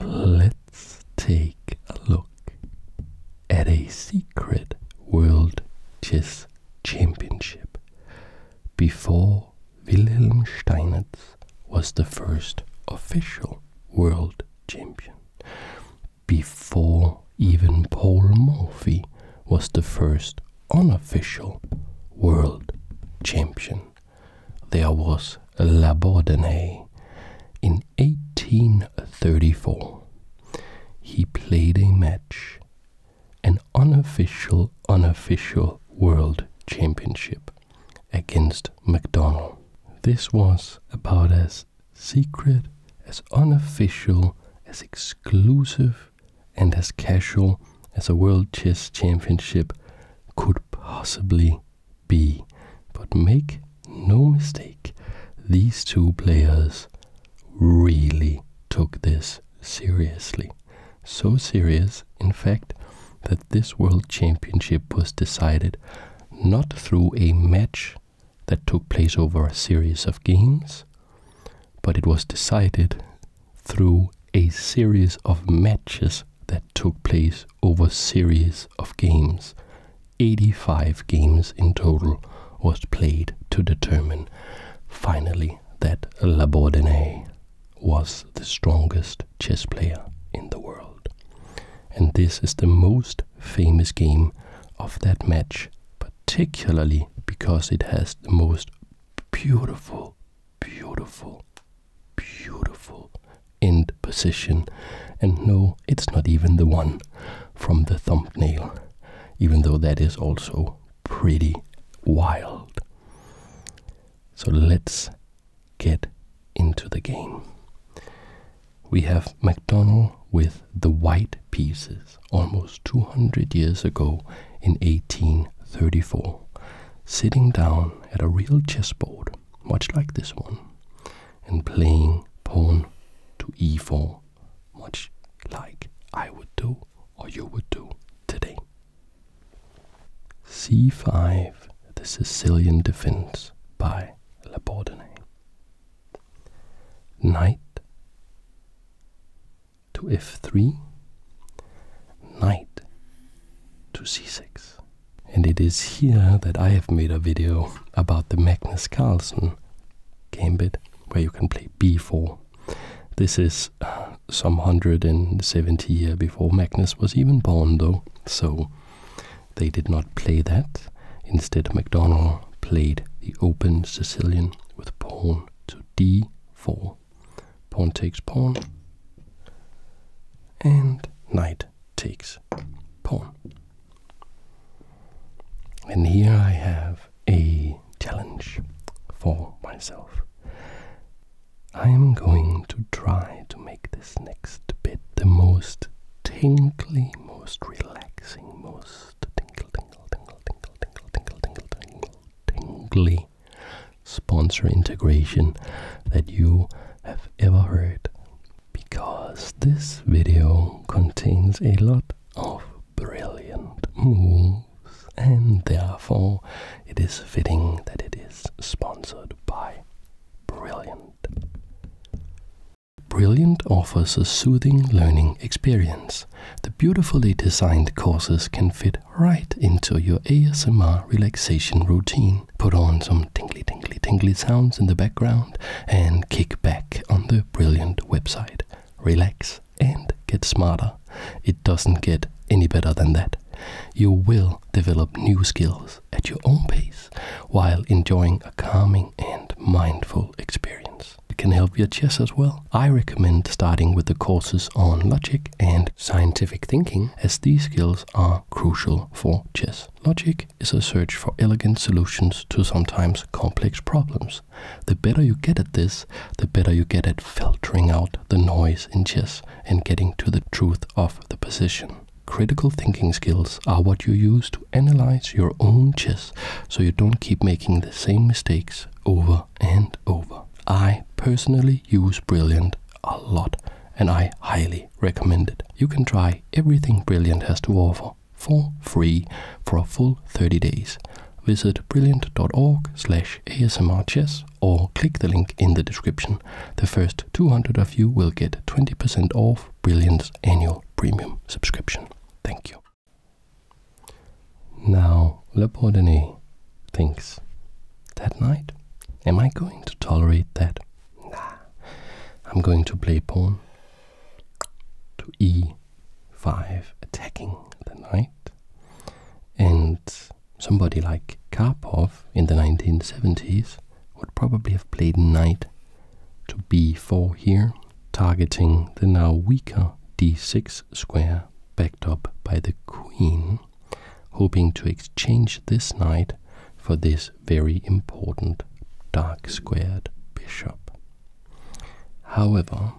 Let's take a look at a secret world chess championship before Wilhelm Steinitz was the first official world champion, before even Paul Morphy was the first unofficial world champion there was Labourdonnais in 1834. He played a match, an unofficial, unofficial world championship against McDonald. This was about as secret, as unofficial, as exclusive, and as casual as a world chess championship could possibly B. But make no mistake, these two players really took this seriously. So serious, in fact, that this World Championship was decided not through a match that took place over a series of games, but it was decided through a series of matches that took place over a series of games. 85 games in total was played to determine finally that Labourdonnais was the strongest chess player in the world. And this is the most famous game of that match, particularly because it has the most beautiful, beautiful beautiful end position. And no, it's not even the one from the thumbnail, even though that is also pretty wild. So let's get into the game. We have MacDonald with the white pieces almost 200 years ago in 1834, sitting down at a real chessboard much like this one, and playing pawn to e4, much like I would do or you would do today. c5, the Sicilian defense by Labordene. Knight to f3, knight to c6. And it is here that I have made a video about the Magnus Carlsen gambit, where you can play b4. This is uh, some 170 year before Magnus was even born, though, so they did not play that. Instead, MacDonald played the open Sicilian with pawn to d4. Pawn takes pawn, and knight takes pawn. And here I have a challenge for myself. I am going to try to make this next bit the most tingly, most relaxing, most tingle, tingle, tingle, tingle, tingle, tingle, tingle, tingle, tingly sponsor integration that you have ever heard. Because this video contains a lot of brilliant moves, and therefore it is fitting that it is sponsored by Brilliant. Brilliant offers a soothing learning experience. The beautifully designed courses can fit right into your ASMR relaxation routine put on some tingly, tingly, tingly sounds in the background, and kick back on the brilliant website. Relax and get smarter. It doesn't get any better than that. You will develop new skills at your own pace while enjoying a calming and mindful experience. It can help your chess as well. I recommend starting with the courses on logic and scientific thinking as these skills are crucial for chess. Logic is a search for elegant solutions to sometimes complex problems. The better you get at this, the better you get at filtering out the noise in chess and getting to the truth of the position. Critical thinking skills are what you use to analyze your own chess so you don't keep making the same mistakes over and over. I personally use Brilliant a lot and I highly recommend it. You can try everything Brilliant has to offer for free for a full 30 days. Visit brilliant.org slash asmrchess or click the link in the description. The first 200 of you will get 20% off Brilliant's annual premium subscription. Thank you. Now, Le thinks, that night, am I going to tolerate that Nah. I'm going to play pawn to e5, attacking the knight. And somebody like Karpov in the 1970s would probably have played knight to b4 here, targeting the now weaker d6 square backed up by the queen hoping to exchange this knight for this very important dark squared bishop. However,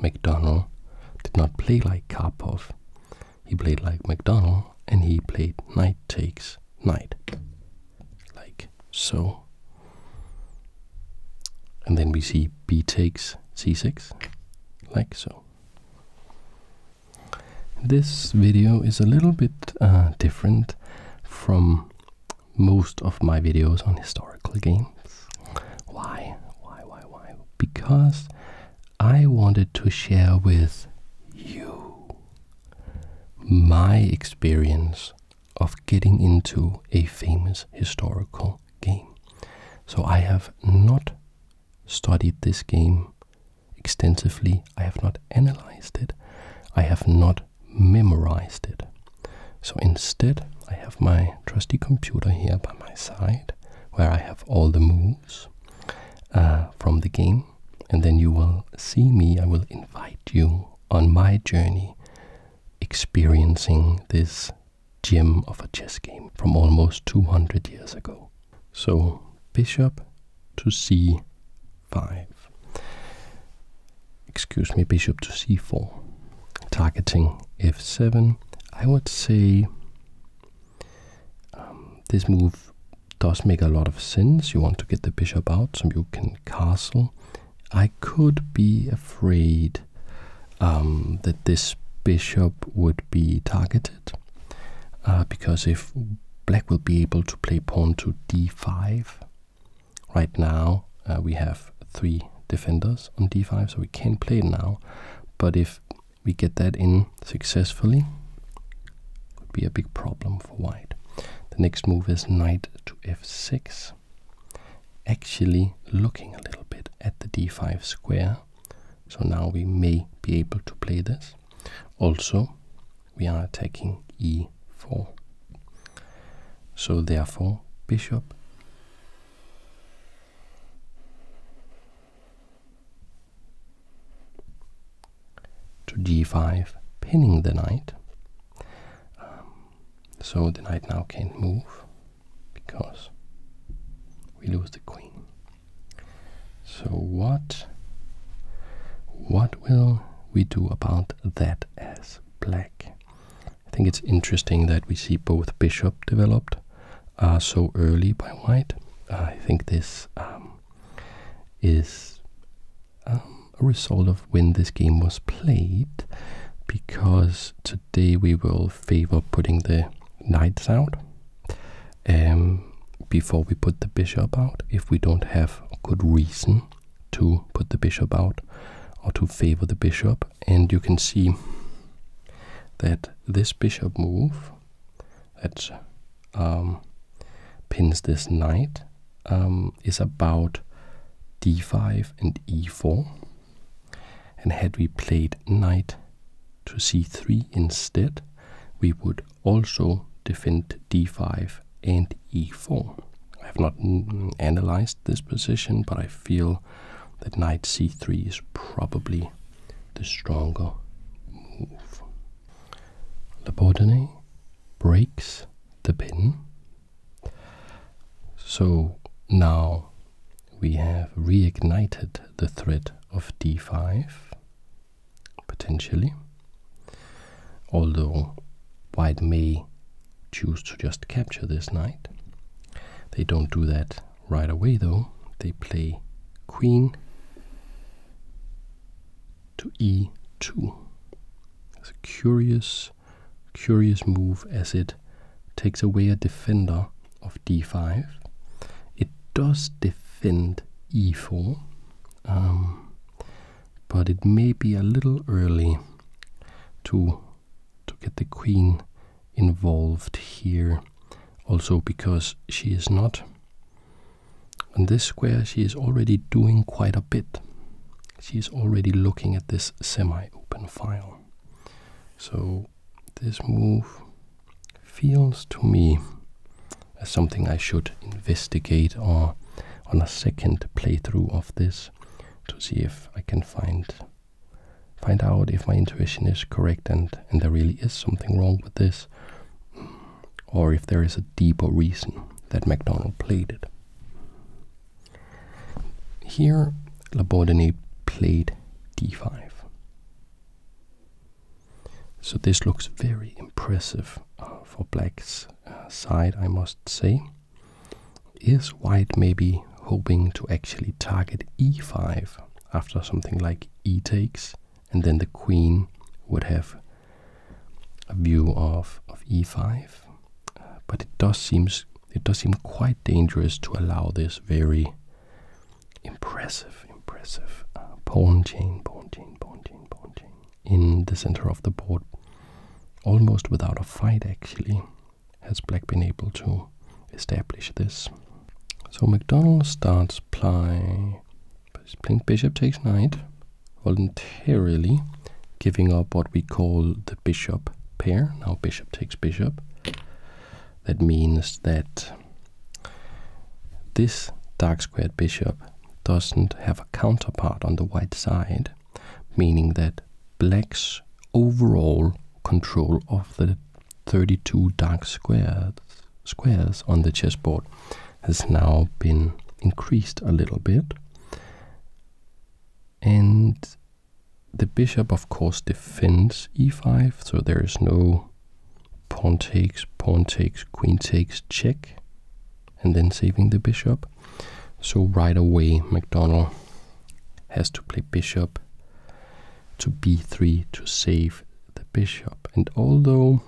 MacDonald did not play like Karpov. He played like MacDonald and he played knight takes knight. Like so. And then we see b takes c6, like so. This video is a little bit uh, different from most of my videos on historical games. Why? Why, why, why? Because I wanted to share with you my experience of getting into a famous historical game. So I have not studied this game extensively. I have not analyzed it. I have not memorized it. So instead, I have my trusty computer here by my side where I have all the moves uh, from the game. And then you will see me, I will invite you on my journey experiencing this gem of a chess game from almost 200 years ago. So bishop to c5. Excuse me, bishop to c4. Targeting f7. I would say um, this move does make a lot of sense. You want to get the bishop out so you can castle. I could be afraid um, that this bishop would be targeted uh, because if black will be able to play pawn to d5, right now uh, we have three defenders on d5, so we can not play it now. But if we get that in successfully, would be a big problem for white. The next move is knight to f6. Actually looking a little bit at the d5 square. So now we may be able to play this. Also, we are attacking e4. So therefore, bishop to d 5 pinning the knight. Um, so the knight now can't move because we lose the queen. So what what will we do about that as black? I think it's interesting that we see both bishop developed uh, so early by white. I think this um, is um, a result of when this game was played, because today we will favor putting the knights out um, before we put the bishop out if we don't have good reason to put the bishop out or to favor the bishop. And you can see that this bishop move that um, pins this knight um, is about d5 and e4. And had we played knight to c3 instead, we would also defend d5 and e4. I have not analyzed this position, but I feel that knight c3 is probably the stronger move. Labordonnais breaks the pin. So now we have reignited the threat of d5 potentially. Although white may choose to just capture this knight. They don't do that right away though. They play queen to e2. It's a curious, curious move as it takes away a defender of d5. It does defend e4 but it may be a little early to to get the queen involved here also because she is not on this square she is already doing quite a bit she is already looking at this semi open file so this move feels to me as something I should investigate or on a second playthrough of this to see if I can find find out if my intuition is correct and and there really is something wrong with this or if there is a deeper reason that MacDonald played it. Here, Labordonnais played d5. So this looks very impressive uh, for black's uh, side, I must say, is white maybe hoping to actually target e5 after something like e takes, and then the queen would have a view of, of e5. Uh, but it does seems it does seem quite dangerous to allow this very impressive, impressive uh, pawn chain, pawn chain, pawn chain, pawn chain in the center of the board, almost without a fight actually, has black been able to establish this. So McDonald starts play playing bishop takes knight, voluntarily giving up what we call the bishop pair. Now bishop takes bishop. That means that this dark squared bishop doesn't have a counterpart on the white side, meaning that black's overall control of the 32 dark squares, squares on the chessboard has now been increased a little bit. And the bishop, of course, defends e5, so there is no pawn takes, pawn takes, queen takes, check and then saving the bishop. So right away, MacDonald has to play bishop to b3 to save the bishop. And although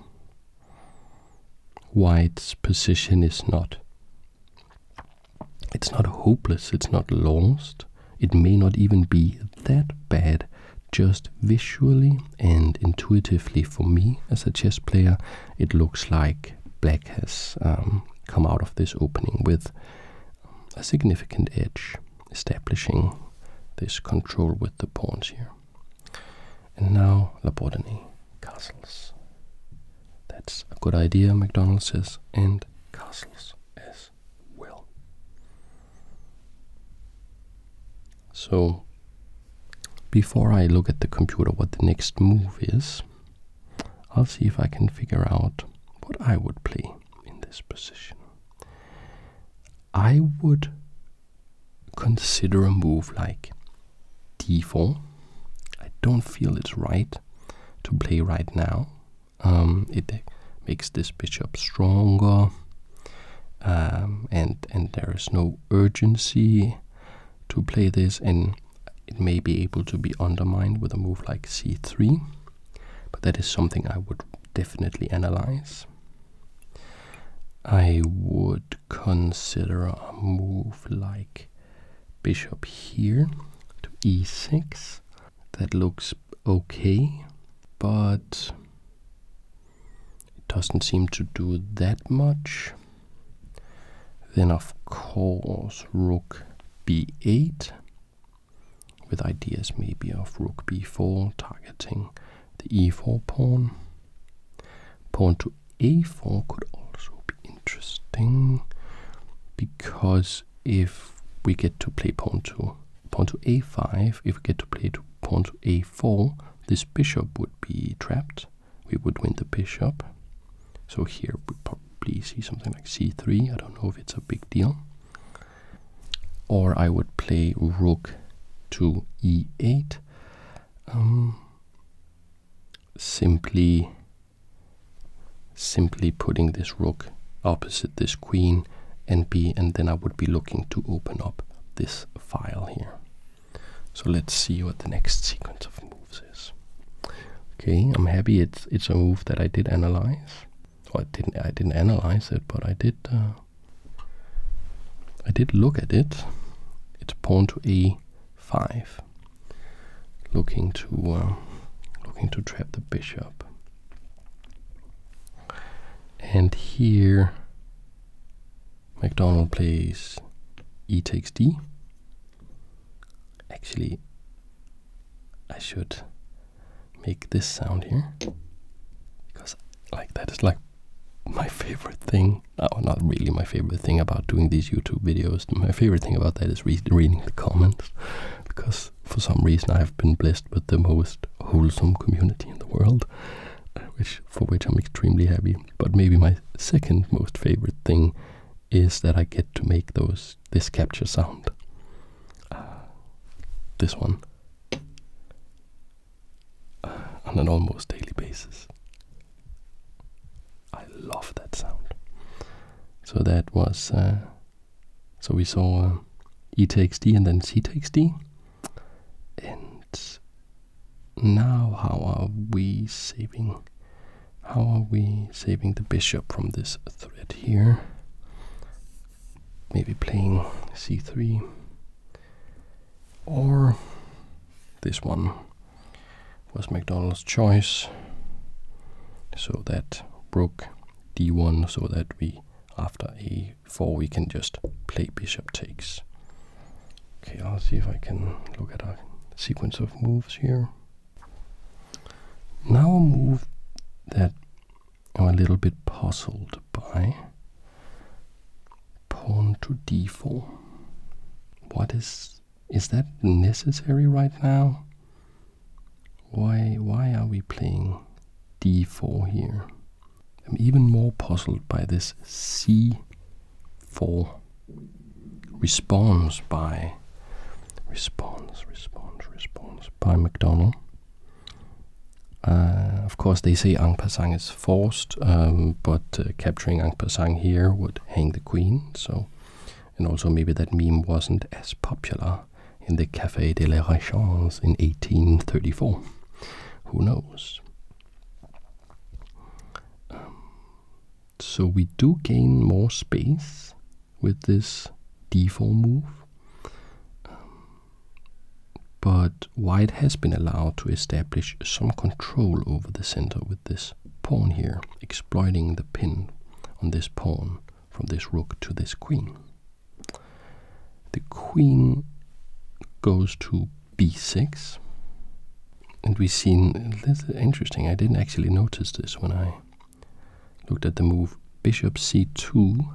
white's position is not it's not hopeless, it's not lost. It may not even be that bad just visually and intuitively for me as a chess player, it looks like black has um, come out of this opening with um, a significant edge, establishing this control with the pawns here. And now Labordonnais castles. That's a good idea, MacDonald says, and castles as well. So, before I look at the computer what the next move is, I'll see if I can figure out what I would play in this position. I would consider a move like d4. I don't feel it's right to play right now. Um, it makes this bishop stronger, um, and and there is no urgency to play this and it may be able to be undermined with a move like c3 but that is something i would definitely analyze i would consider a move like bishop here to e6 that looks okay but it doesn't seem to do that much. Then, of course, rook b8 with ideas maybe of rook b4 targeting the e4 pawn. Pawn to a4 could also be interesting because if we get to play pawn to pawn to a5, if we get to play to pawn to a4, this bishop would be trapped we would win the bishop. So here we probably see something like c3. I don't know if it's a big deal. Or I would play rook to e8. Um, simply, simply putting this rook opposite this queen and b, and then I would be looking to open up this file here. So let's see what the next sequence of moves is. Okay, I'm happy it's it's a move that I did analyze. Well, I didn't I didn't analyze it, but I did uh, I did look at it. It's pawn to a5, looking to uh, looking to trap the bishop. And here McDonald plays e takes d. Actually, I should make this sound here because like that is like my favorite thing. Oh, not really my favorite thing about doing these YouTube videos. My favorite thing about that is reading the comments because for some reason I've been blessed with the most wholesome community in the world, uh, which for which I'm extremely happy. But maybe my second most favorite thing is that I get to make those this capture sound. Uh, this one. Uh, on an almost daily basis. I love that sound. So that was. Uh, so we saw um, E takes D and then C takes D. And now how are we saving how are we saving the bishop from this threat here? Maybe playing c3 or this one was McDonald's choice so that broke d1 so that we after a4 we can just play bishop takes Okay, I'll see if I can look at a sequence of moves here. Now a move that I'm a little bit puzzled by. Pawn to d4. What is... is that necessary right now? Why, why are we playing d4 here? I'm even more puzzled by this c for response by response response response by McDonald. Uh, of course, they say Ang Pasang is forced, um, but uh, capturing Ang Pasang here would hang the queen. So, and also maybe that meme wasn't as popular in the Café de la Régence in 1834. Who knows? Um, so we do gain more space with this d4 move. Um, but white has been allowed to establish some control over the center with this pawn here, exploiting the pin on this pawn from this rook to this queen. The queen goes to b6. And we see, this is interesting, I didn't actually notice this when I looked at the move bishop c2.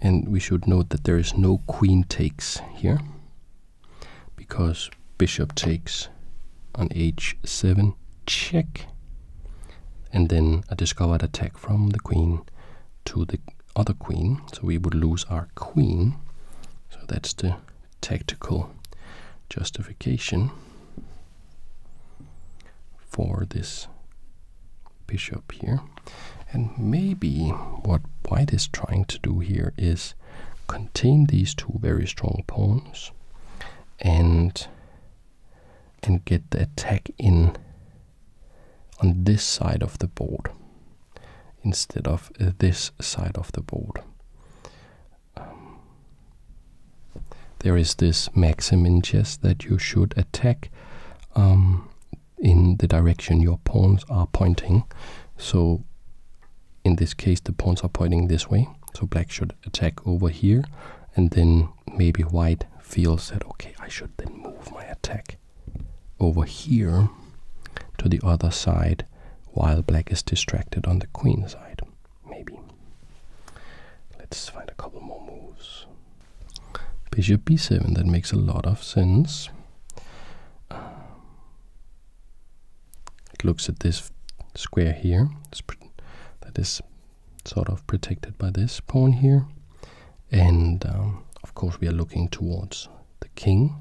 And we should note that there is no queen takes here because bishop takes on h7 check and then a discovered attack from the queen to the other queen so we would lose our queen so that's the tactical justification for this bishop here. And maybe what white is trying to do here is contain these two very strong pawns and and get the attack in on this side of the board instead of uh, this side of the board. Um, there is this maxim in chess that you should attack um, in the direction your pawns are pointing. So in this case, the pawns are pointing this way. So black should attack over here, and then maybe white feels that okay, I should then move my attack over here to the other side while black is distracted on the queen side. Maybe. Let's find a couple more moves. Bishop b7, that makes a lot of sense. it looks at this square here, that is sort of protected by this pawn here. And um, of course, we are looking towards the king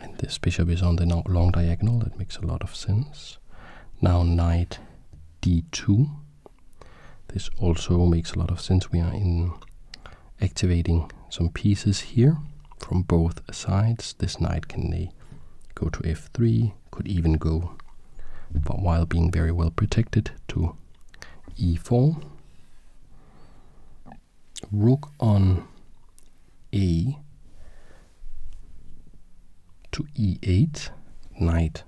and this bishop is on the long diagonal, that makes a lot of sense. Now knight d2. This also makes a lot of sense. We are in activating some pieces here from both sides. This knight can go to f3, could even go, but while being very well protected, to e4. Rook on a to e8, knight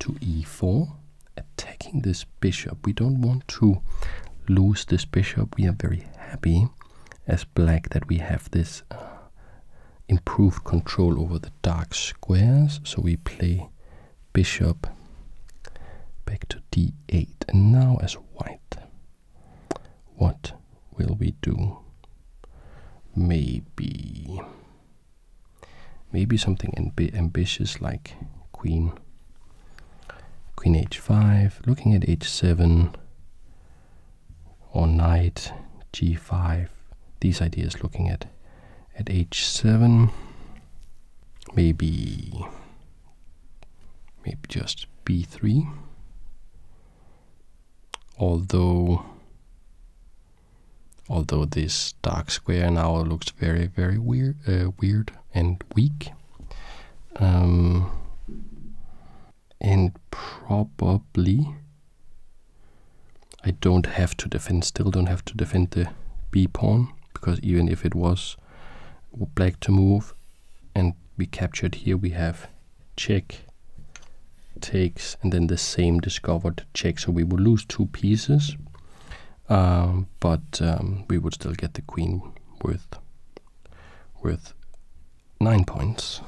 to e4, attacking this bishop. We don't want to lose this bishop. We are very happy as black that we have this uh, improved control over the dark squares. So we play bishop back to d8. And now as white, what will we do? Maybe. Maybe something amb ambitious like queen. Queen h5, looking at h7 or knight g5. These ideas looking at at h7. Maybe maybe just b3 although although this dark square now looks very very weird uh, weird and weak um, and probably I don't have to defend still don't have to defend the b pawn because even if it was black to move and be captured here we have check, takes, and then the same discovered check. So we would lose two pieces, um, but um, we would still get the queen worth, worth nine points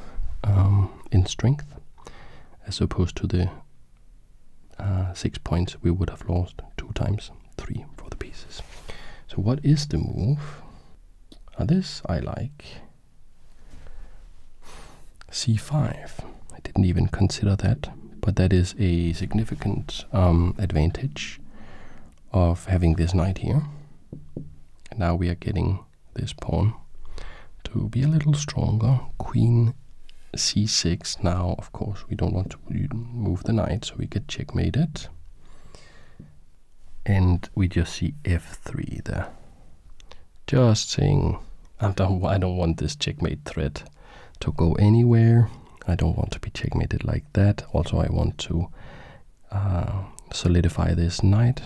um, in strength, as opposed to the uh, six points we would have lost two times three for the pieces. So what is the move? Uh, this I like c5. I didn't even consider that, but that is a significant um, advantage of having this knight here. And now we are getting this pawn to be a little stronger. Queen c6. Now, of course, we don't want to move the knight, so we get checkmated and we just see f3 there. Just saying, I don't, I don't want this checkmate threat to go anywhere. I don't want to be checkmated like that. Also, I want to uh, solidify this knight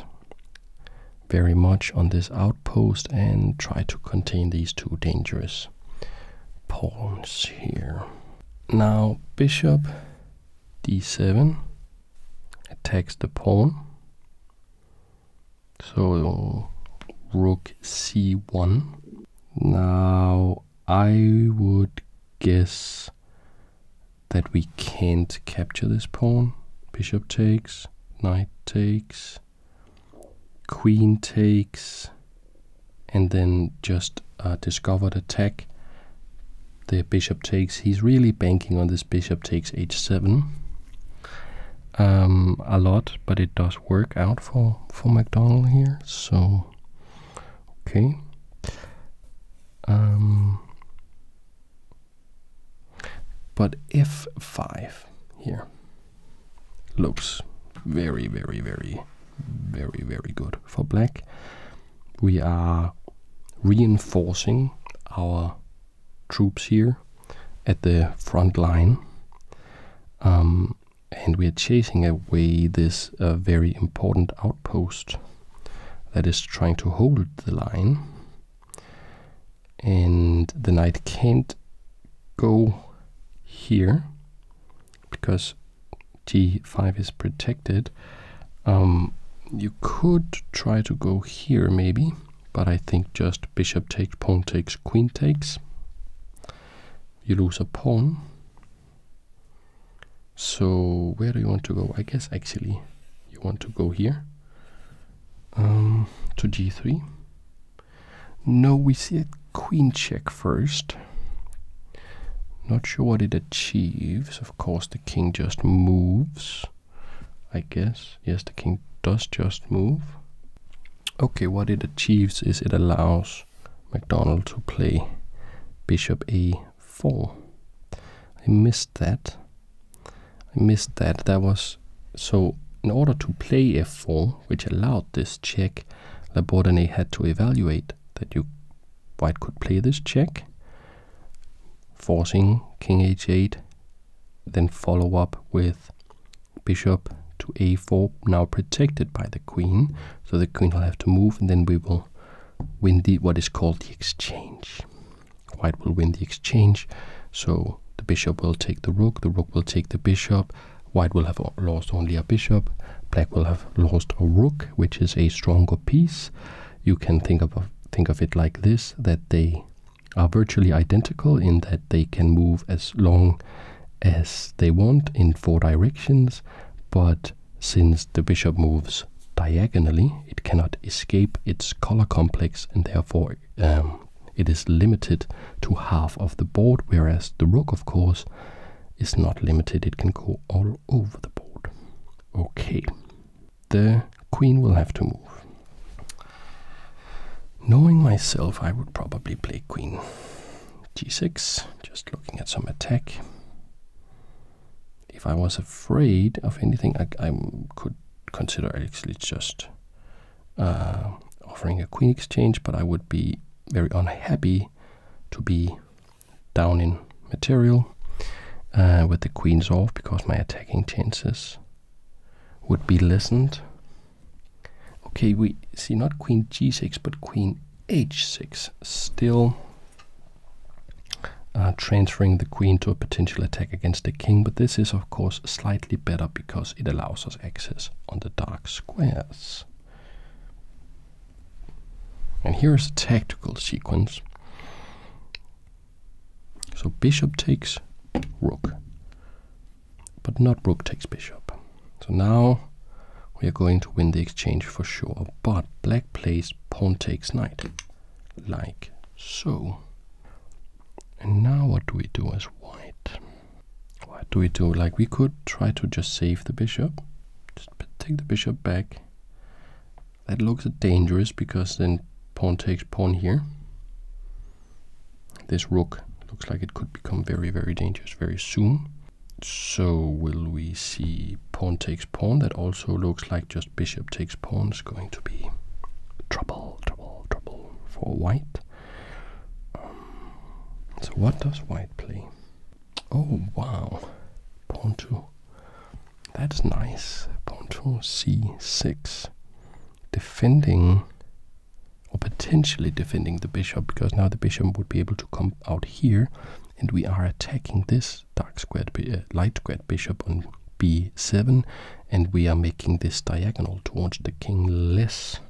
very much on this outpost and try to contain these two dangerous pawns here. Now, bishop d7 Takes the pawn. So rook c1. Now I would guess that we can't capture this pawn. Bishop takes, knight takes, queen takes, and then just a uh, discovered attack the bishop takes. He's really banking on this bishop takes h7 um, a lot, but it does work out for, for McDonald here. So, okay. Um, but f5 here looks very, very, very, very, very good for black. We are reinforcing our troops here at the front line. Um, and we are chasing away this uh, very important outpost that is trying to hold the line. And the knight can't go here because T 5 is protected um, you could try to go here maybe, but I think just bishop takes, pawn takes, queen takes. You lose a pawn. So where do you want to go? I guess actually you want to go here um, to g3. No, we see a queen check first. Not sure what it achieves. Of course, the king just moves. I guess. Yes, the king does just move. Okay, what it achieves is it allows MacDonald to play bishop a4. I missed that. I missed that. That was... So, in order to play f4, which allowed this check, Labordonnais had to evaluate that you white could play this check forcing king h8, then follow up with bishop to a4, now protected by the queen. So the queen will have to move, and then we will win the what is called the exchange. White will win the exchange, so the bishop will take the rook, the rook will take the bishop, white will have lost only a bishop, black will have lost a rook, which is a stronger piece. You can think of think of it like this: that they are virtually identical in that they can move as long as they want in four directions, but since the bishop moves diagonally, it cannot escape its color complex and therefore um, it is limited to half of the board, whereas the rook, of course, is not limited. It can go all over the board. Okay the queen will have to move. Knowing myself, I would probably play queen g6, just looking at some attack. If I was afraid of anything, I, could consider actually just uh, offering a queen exchange, but I would be very unhappy to be down in material uh, with the queens off because my attacking chances would be listened. Okay, we see not queen g6 but queen h6 still uh, transferring the queen to a potential attack against the king, but this is of course slightly better because it allows us access on the dark squares. And here is a tactical sequence so bishop takes rook, but not rook takes bishop. So now we are going to win the exchange for sure, but black plays pawn takes knight, like so. And now what do we do as white? What do we do? Like we could try to just save the bishop, just take the bishop back that looks dangerous because then pawn takes pawn here. This rook looks like it could become very, very dangerous very soon. So will we see pawn takes pawn? That also looks like just bishop takes pawn is going to be trouble, trouble, trouble for white. Um, so what does white play? Oh, wow. Pawn two. That's nice. Pawn c6. Defending or potentially defending the bishop because now the bishop would be able to come out here and we are attacking this dark square, uh, light squared bishop on b7 and we are making this diagonal towards the king less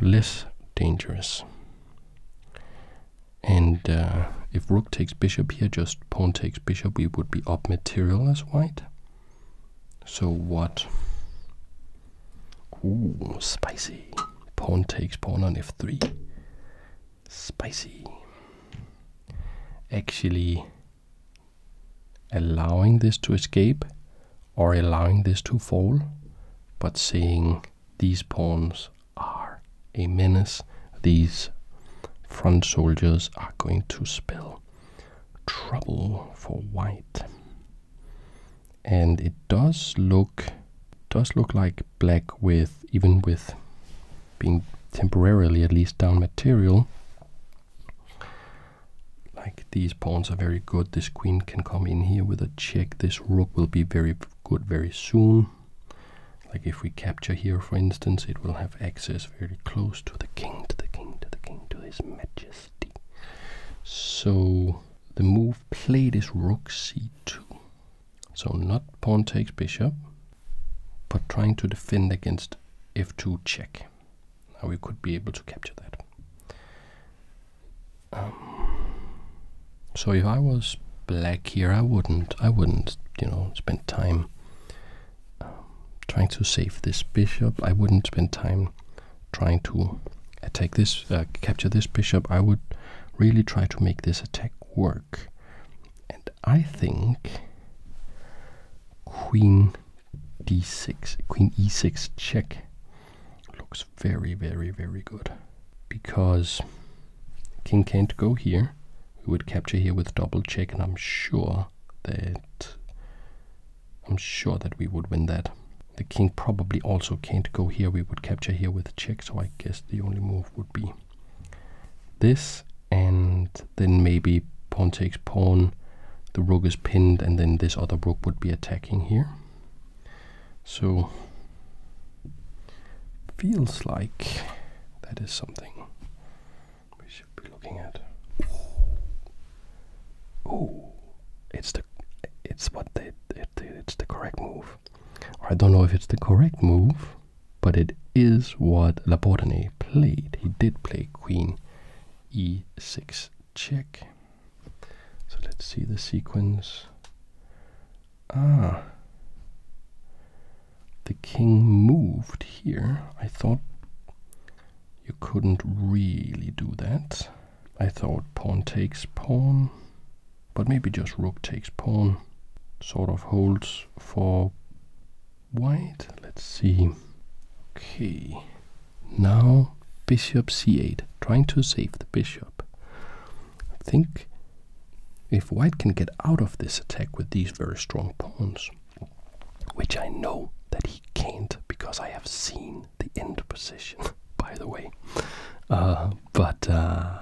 less dangerous and uh, if rook takes bishop here just pawn takes bishop, we would be up material as white. So what? Ooh, spicy. Pawn takes pawn on f3. Spicy. Actually, allowing this to escape or allowing this to fall, but saying these pawns are a menace these front soldiers are going to spell trouble for white and it does look does look like black with even with being temporarily at least down material like these pawns are very good this queen can come in here with a check this rook will be very good very soon like if we capture here for instance it will have access very close to the king, to the king, to the king, to his majesty. So the move played is rook c2. So not pawn takes bishop, but trying to defend against f2 check. Now we could be able to capture that. Um, so if I was black here, I wouldn't, I wouldn't, you know, spend time um, trying to save this bishop. I wouldn't spend time trying to attack this, uh, capture this bishop. I would really try to make this attack work. And I think queen d6, queen e6 check looks very, very, very good because king can't go here we would capture here with double check and I'm sure that I'm sure that we would win that. The king probably also can't go here. We would capture here with check, so I guess the only move would be this and then maybe pawn takes pawn. The rook is pinned and then this other rook would be attacking here. So feels like that is something we should be looking at. Oh, it's the it's what they it's the correct move. I don't know if it's the correct move, but it is what Laportane played. He did play Queen e6 check. So let's see the sequence. Ah the king moved here, I thought you couldn't really do that. I thought pawn takes pawn, but maybe just rook takes pawn sort of holds for white. Let's see. Okay, now bishop c8, trying to save the bishop. think if white can get out of this attack with these very strong pawns, which I know that he can't because I have seen the end position, by the way. Uh, but uh,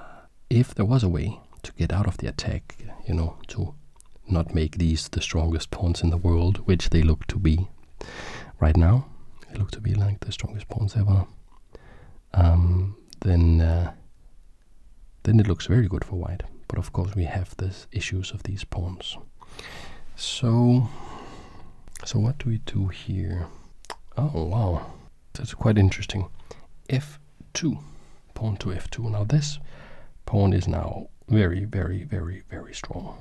if there was a way to get out of the attack, you know, to not make these the strongest pawns in the world, which they look to be right now, they look to be like the strongest pawns ever, um, then uh, then it looks very good for white. But of course we have the issues of these pawns. So, so what do we do here? Oh wow, that's quite interesting. F2, pawn to F2. Now this pawn is now very, very, very, very strong.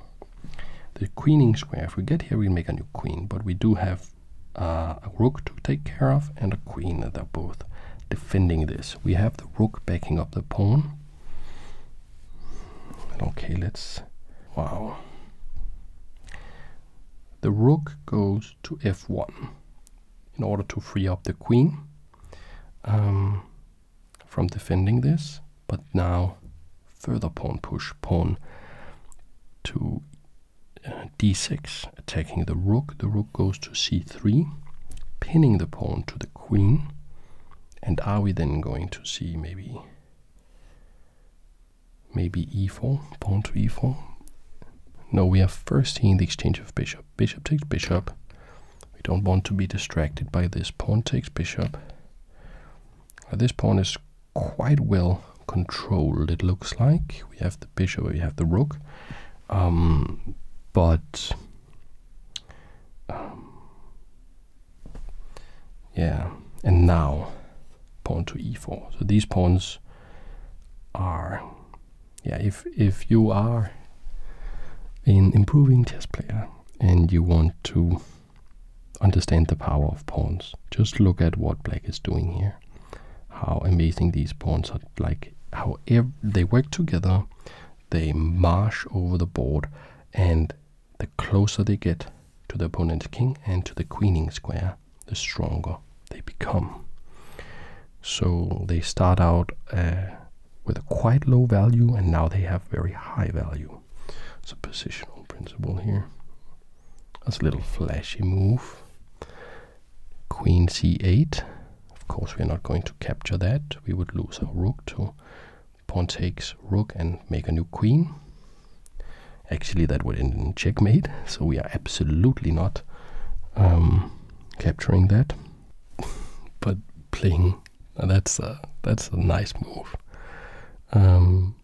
The queening square, if we get here, we make a new queen, but we do have uh, a rook to take care of and a queen, and they're both defending this. We have the rook backing up the pawn, Okay, let's. Wow. The rook goes to f1 in order to free up the queen um, from defending this, but now further pawn push, pawn to uh, d6, attacking the rook. The rook goes to c3, pinning the pawn to the queen, and are we then going to see maybe maybe e4, pawn to e4? No, we have first seen the exchange of bishop. Bishop takes bishop. We don't want to be distracted by this. Pawn takes bishop. Now this pawn is quite well controlled, it looks like. We have the bishop, we have the rook. Um, but um, yeah, and now pawn to e4. So these pawns are, yeah, if if you are an improving chess player and you want to understand the power of pawns, just look at what black is doing here. How amazing these pawns are! Like how they work together, they march over the board, and the closer they get to the opponent's king and to the queening square, the stronger they become. So they start out uh, with a quite low value, and now they have very high value. It's a positional principle here. That's a little flashy move. Queen c8. Of course, we're not going to capture that. We would lose our rook too. Pawn takes rook and make a new queen. Actually, that would end in checkmate, so we are absolutely not um, capturing that. but playing that's a that's a nice move. Um,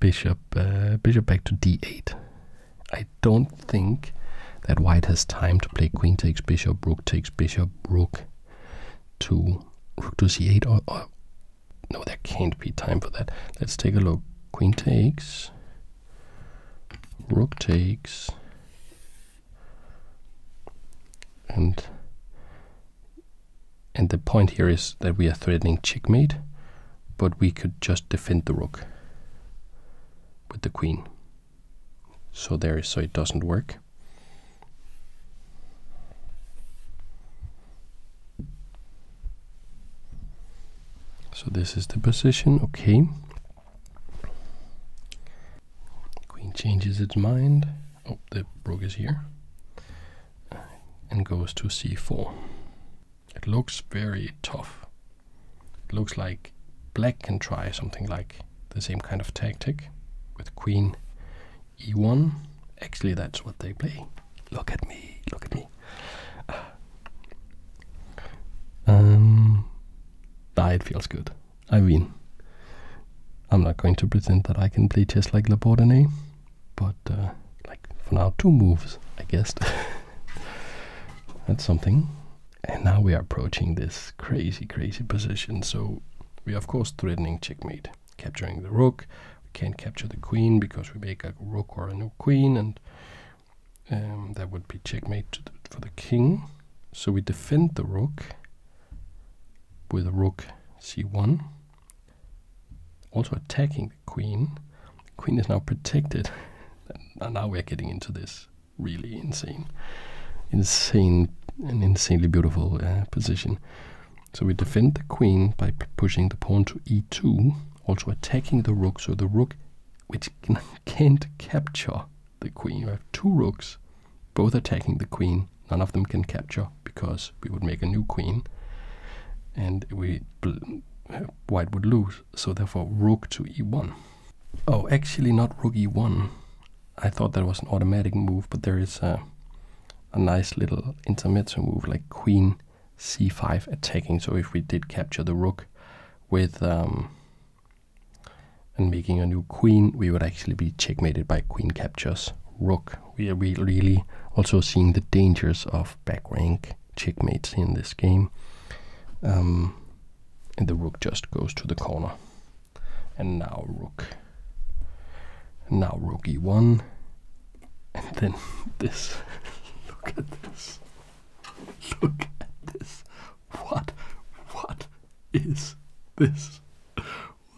bishop uh, bishop back to d8. I don't think that white has time to play queen takes bishop, rook takes bishop, rook to rook to c8 or, or no there can't be time for that let's take a look queen takes rook takes and and the point here is that we are threatening checkmate but we could just defend the rook with the queen so there so it doesn't work so this is the position okay queen changes its mind oh the rook is here and goes to c4 it looks very tough looks like black can try something like the same kind of tactic with queen e1. Actually, that's what they play. Look at me, look at me. Ah. Um, ah, it feels good. I mean, I'm not going to pretend that I can play chess like Labourdonnais, but uh, like for now, two moves, I guess. that's something. And now we are approaching this crazy, crazy position. So we are of course threatening checkmate, capturing the rook. We can't capture the queen because we make a rook or a new queen, and um, that would be checkmate for the king. So we defend the rook with a rook c1. Also attacking the queen. queen is now protected. and now we're getting into this really insane, insane an insanely beautiful uh, position. So we defend the queen by pushing the pawn to e2, also attacking the rook. So the rook, which can't capture the queen, we have two rooks, both attacking the queen. None of them can capture because we would make a new queen, and we white would lose. So therefore, rook to e1. Oh, actually not rook e1. I thought that was an automatic move, but there is a, a nice little intermezzo move like queen c5 attacking. So if we did capture the rook with um, and making a new queen, we would actually be checkmated by queen captures rook. We are really also seeing the dangers of back rank checkmates in this game. Um, and the rook just goes to the corner. And now rook. And now rook e1. And then this. Look at this. Look at this. What? What is this?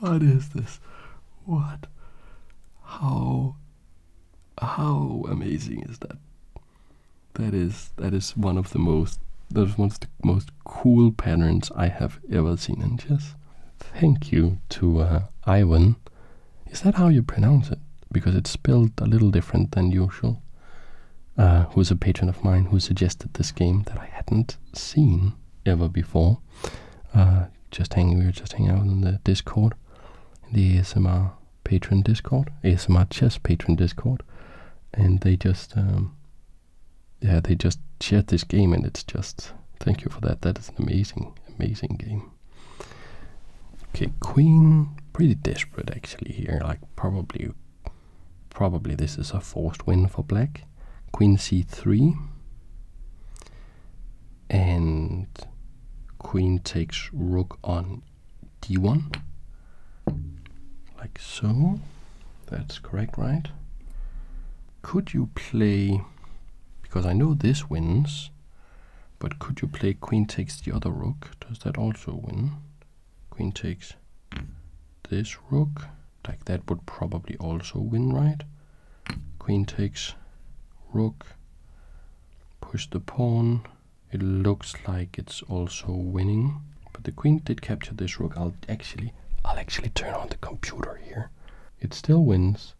What is this? What? How? How amazing is that? That is that is one of the most that is one of the most cool patterns I have ever seen. in chess. thank you to uh, Ivan. Is that how you pronounce it? Because it's spelled a little different than usual. Uh, who's a patron of mine who suggested this game that I hadn't seen ever before. Uh, just hanging, we were just hanging out in the Discord, the ASMR patron Discord, ASMR chess patron Discord, and they just um, yeah, they just shared this game, and it's just thank you for that. That is an amazing, amazing game. Okay, queen, pretty desperate actually here. Like probably, probably this is a forced win for black. Queen c3, and queen takes rook on d1, like so. That's correct, right? Could you play, because I know this wins, but could you play queen takes the other rook? Does that also win? Queen takes this rook, like that would probably also win, right? Queen takes rook, push the pawn. It looks like it's also winning. But the queen did capture this rook. I'll actually, I'll actually turn on the computer here. It still wins,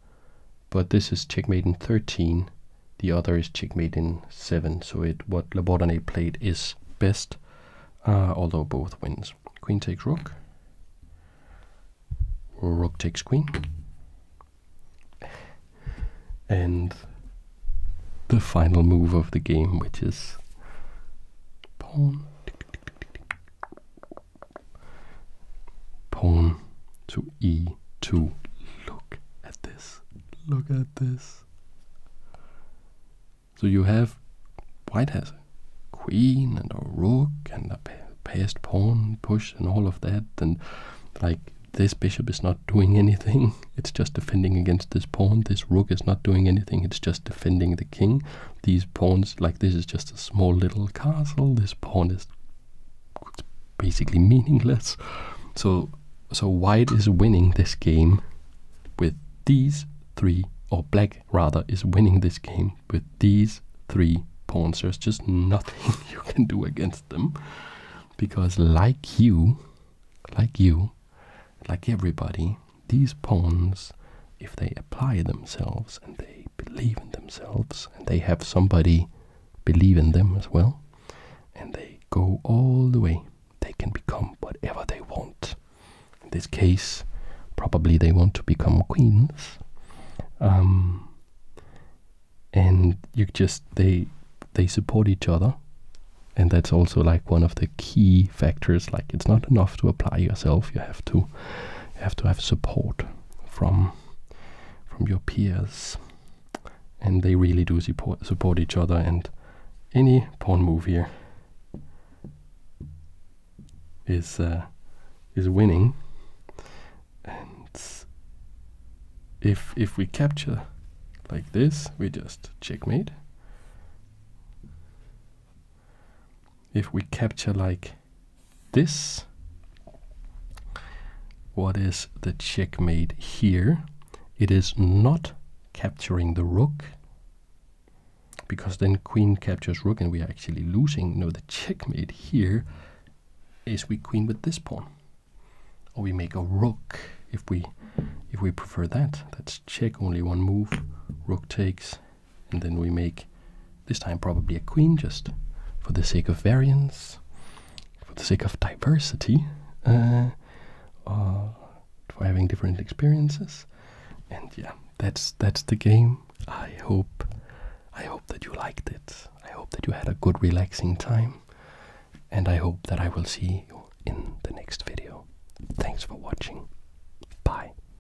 but this is checkmate in 13. The other is checkmate in 7. So it what Labordonnais played is best, uh, although both wins. Queen takes rook. Rook takes queen. And the final move of the game, which is pawn. Pawn to e2. Look at this. Look at this. So you have white has queen and a rook and a passed pawn push and all of that and like this bishop is not doing anything. It's just defending against this pawn. This rook is not doing anything. It's just defending the king. These pawns, like this is just a small little castle. This pawn is basically meaningless. So, so white is winning this game with these three, or black rather, is winning this game with these three pawns. There's just nothing you can do against them. Because like you, like you, like everybody, these pawns, if they apply themselves and they believe in themselves and they have somebody believe in them as well, and they go all the way, they can become whatever they want. In this case, probably they want to become queens. Um, and you just they they support each other and that's also like one of the key factors like it's not enough to apply yourself you have to you have to have support from from your peers, and they really do support support each other. And any pawn move here is uh, is winning. And if if we capture like this, we just checkmate. If we capture like this. What is the checkmate here? It is not capturing the rook because then queen captures rook and we are actually losing. No, the checkmate here is we queen with this pawn. Or we make a rook if we if we prefer that. That's check only one move. Rook takes and then we make this time probably a queen just for the sake of variance for the sake of diversity uh, uh, for having different experiences and yeah that's that's the game i hope i hope that you liked it i hope that you had a good relaxing time and i hope that i will see you in the next video thanks for watching bye